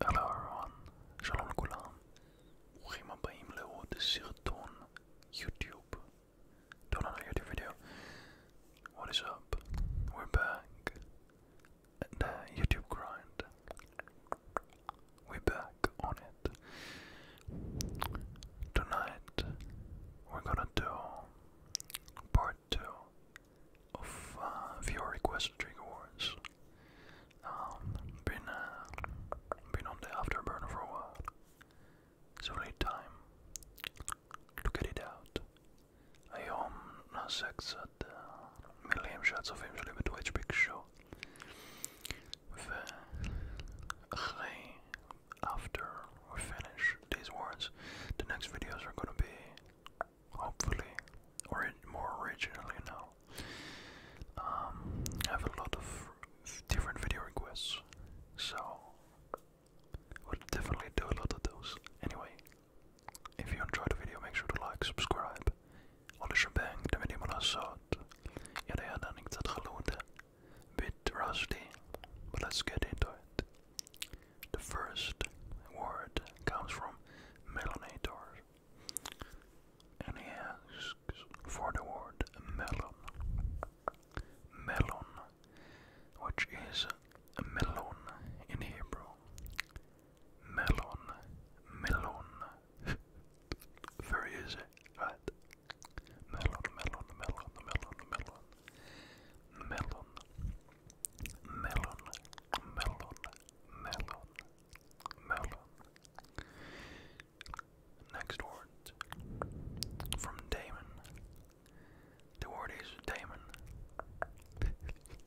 Hello everyone, Shalom Kulam. Urim Abayim Leod Sirton YouTube. Don't know YouTube video. What is up? We're back. The YouTube grind. We're back on it. Tonight we're gonna do part two of uh, viewer requested trigger um, been uh, been on the afterburner for a while. It's only time to get it out. I am now uh, sex at uh, million shots of him with big show. With uh, after we finish these words, the next videos are gonna be hopefully, or more originally now. Um, I have a lot of different video requests, so we'll definitely do a lot of those. Anyway, if you enjoyed the video, make sure to like, subscribe. Alle shebang, damit ihr mal schaut. Ja, der hat nichts Bit rusty, but let's get into it. The first word comes from melanator, and he asks for the word melon. Melon, which is melon in Hebrew. Melon, melon. Very easy, right? Melon, melon, melon, melon, melon. Melon melon, melon, melon, melon. Next word from Damon. The word is Damon.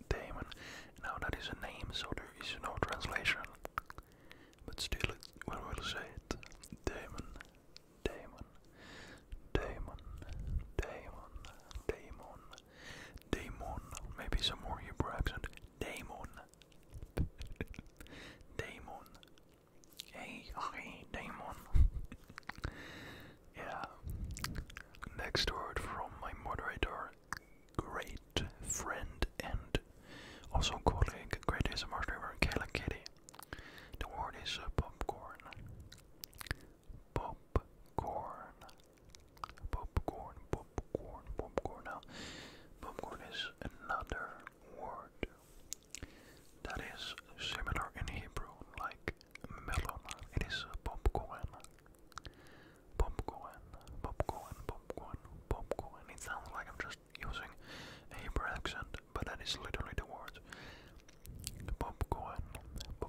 Damon. Now that is a name, so there is no translation. But still, we will say it. Damon. Damon. Damon. Damon. Damon. Daemon. Maybe some more Hebrew accent. Daemon. Daemon. Hey, hey, Daemon. yeah. Next word from my moderator, great friend and also colleague, great ASMR streamer, Kayla Kitty. The word is popcorn. Popcorn. Popcorn, popcorn, popcorn. Now, popcorn is another word that is similar in Hebrew, like melon. It is popcorn. Popcorn, popcorn, popcorn, popcorn. It sounds like I'm just using a Hebrew accent, but that is literally the word. Popcorn, popcorn,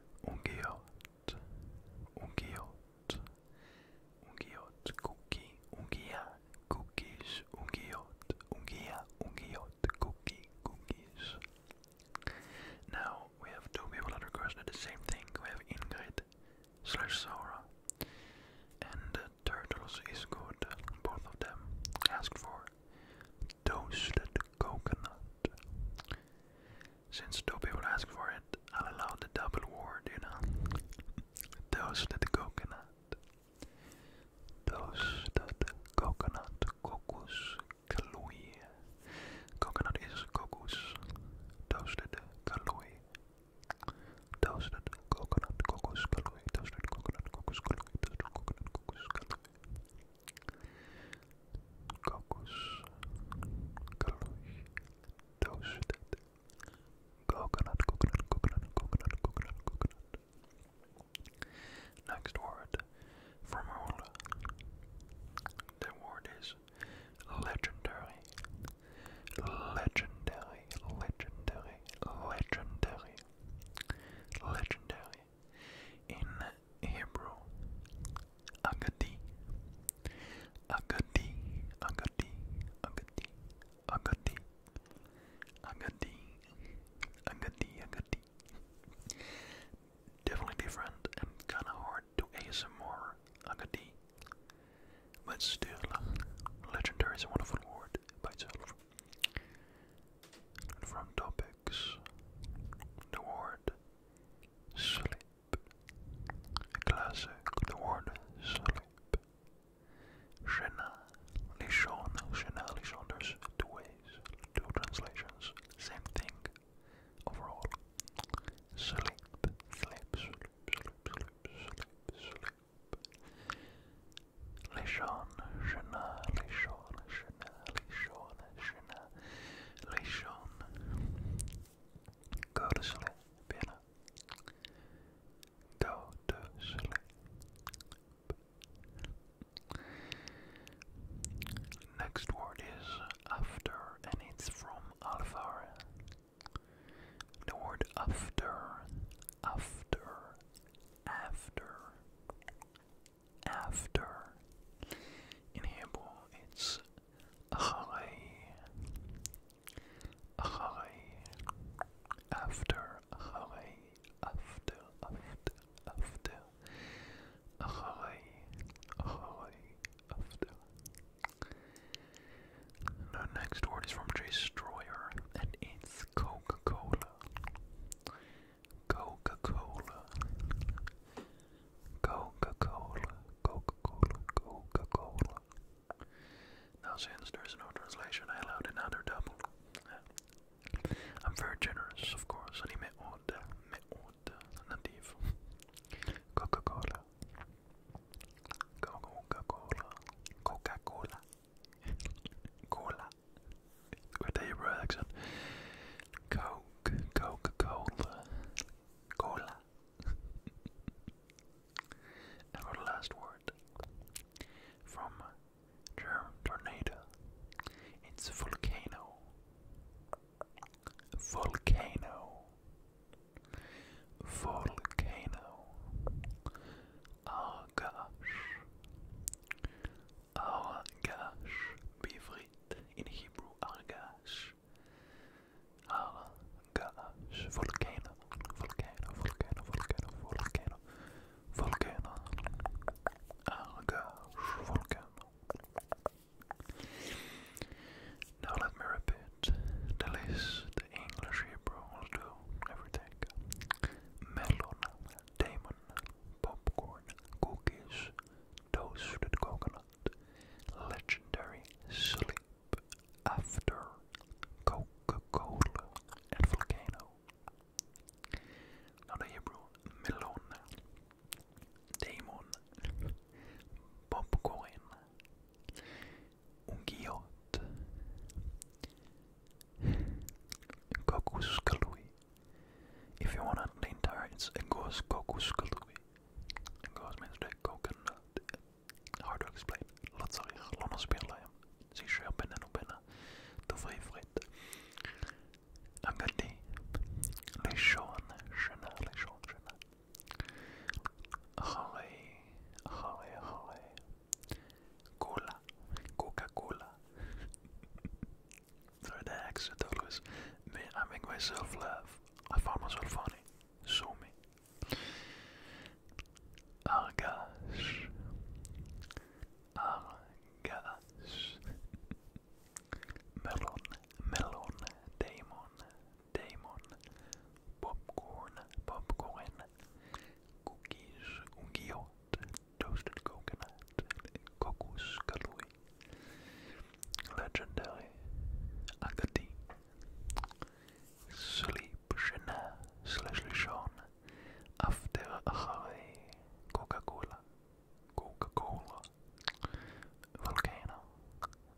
Un guillot, un cookie, un cookies, un guillot, un cookie, cookies. Now we have two people that requested the same thing. We have Ingrid slash Sora and uh, Turtles is good. Both of them asked for toasted coconut. Since two people asked for it, I'll allow the double word, you know. Toasted coconut. Toasted coconut. Cocos kalui. Coconut is cocos. Toasted kalui. Toasted coconut. Cocos kalui. Toasted coconut. Cocos kalui. Toasted coconut. Cocos kalui. Kokus Kalush Toasted Coconut Coconut Coconut Coconut Coconut Coconut Next word from Rola The word is legendary Legendary Legendary Legendary Legendary in Hebrew. Agadi, agadi, agadi, agadi, agadi, agadi, agadi, agadi. Definitely different and kind of hard to ASMR agadi, but still, legendary is a wonderful word by itself. From topics, the word sleep, a the word sleep. Shena, Lishon, Shena, Lishon, two ways, two translations, same thing overall. sleep, sleep, sleep, sleep, sleep, sleep. Lishon, Shana, Lishon, Shana, Lishon, Shana, Lishon. Go to sleep, Vienna. Next word is after, and it's from Alfara. The word after, after, after, after. In Hebrew, it's acharei, acharei, after, acharei, after, after, after, acharei, acharei, after. The next word is from Jay Stroyer, and it's Coca-Cola. Coca-Cola. Coca-Cola. Coca-Cola. Coca-Cola. Now since there's no translation, I allowed another double. Yeah. Uh, I'm very generous, of course. And he met order. Met order. Native. Coca-Cola. Coca-Cola. Coca-Cola. Cola with a Hebrew accent. Coke, Coca Cola, Cola. and for the last word, from German tornado, it's volcano. Volcano. Volcano. Agash. Argash בעברית, in Hebrew Argash. Argash, volcano, volcano, volcano, volcano, volcano, volcano. Argash, volcano. Now let me repeat the the English Hebrew will do everything. Melon, Damon, popcorn, cookies, toasted coconut, legendary sleep, after, Coca-Cola, and volcano. Now Hebrew, melon, Damon, popcorn, ungiot, Kokuskalui. If you want the entire, it's Egos Kokuskalui. Egos means the coconut. Hard to explain. Lotsarir, Lonospirlaim, Sisher Benenobena, oh, Dovri Frit. Agadi, Lishon, Shena, Lishon, Shena. Ahare, Ahare, Ahare. Cola, Coca-Cola. Sorry, that accent always. Me, I make myself laugh. I found myself funny. Sue me. Argas, Argas. melon, melon, Damon, Damon. Popcorn, popcorn cookies, ungiot, toasted coconut, cocos kalui, legendary, agati, sleep, shena, slash lishon, after achare, coca-cola, coca-cola, volcano,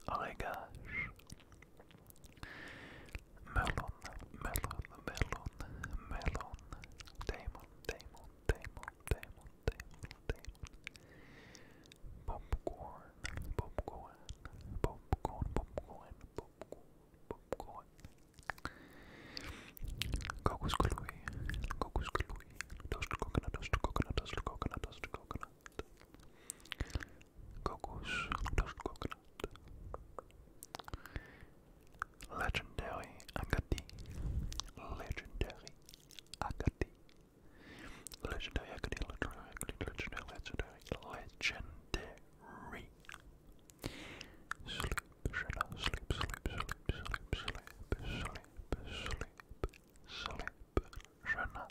aregash, Melon, melon, melon, melon. Damon, Damon, Damon, Damon, Damon, Damon. Popcorn, popcorn, popcorn, popcorn, popcorn, popcorn. Cocos glue, cocos glue. Toast coconut, toast coconut, toast coconut, toast coconut. Cocos, toast coconut. Legendary Agati. Legendary Agati. Legendary Agati, legendary Agati, legendary, legendary, legendary. Sleep, shadow, sleep, sleep, sleep, sleep, sleep, sleep, sleep, sleep, sleep, sleep, sleep,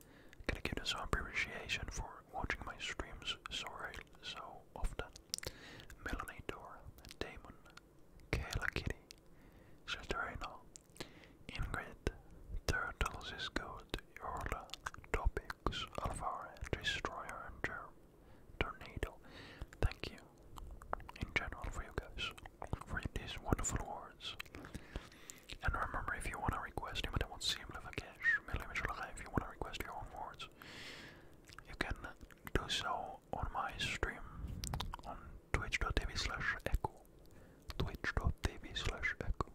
Gotta give this some appreciation for watching my streams so so often. Melanie Dora, Damon, Kayla Kitty, Saturina, Ingrid, Turtles is good, Yorla, Topics, Alvare, Destroyer, and Germ, Tornado. Thank you in general for you guys for these wonderful words. And remember, if you want to request, even I won't see him live if you want to request your own words, you can do so on my stream on twitch.tv slash echo. Twitch.tv slash echo.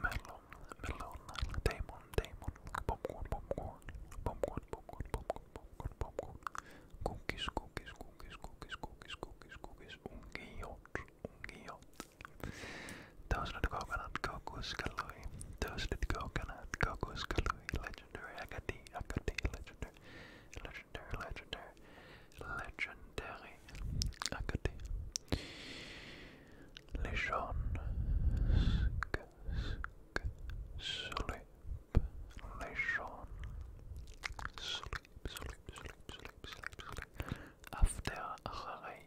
Melon, melon, demon, demon, popcorn, popcorn, popcorn, popcorn, popcorn, popcorn, popcorn cookies, cookies, cookies, cookies, cookies, cookies, cookies, ungiot, ungiot. Toasted coconut, kokoskaloi, toasted coconut, kokoskaloi, legendary, agati, agati, legendary, legendary, legendary, legendary, agati. Lijon, sk, sk, soli, Relation. Sleep, sleep, sleep, sleep, sleep, sleep. After Ray, Ray,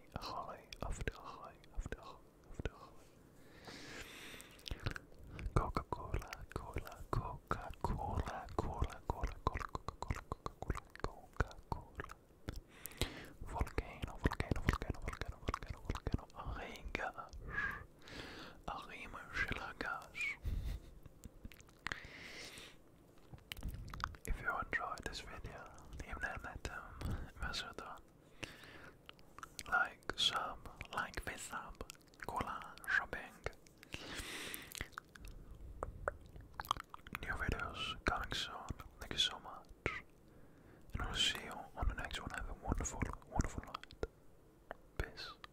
after Ray, after after Coca-Cola, Cola, Coca-Cola, Cola, Cola, Cola, Coca-Cola, Coca-Cola, Coca-Cola. Volcano, volcano, volcano, volcano, volcano, volcano, arengas. Arima של הגש if you enjoyed this video, leave that letter um, message like sub, like face up, shopping. New videos coming soon. Thank you so much. And we'll see you on the next one. Have a wonderful, wonderful night. Peace.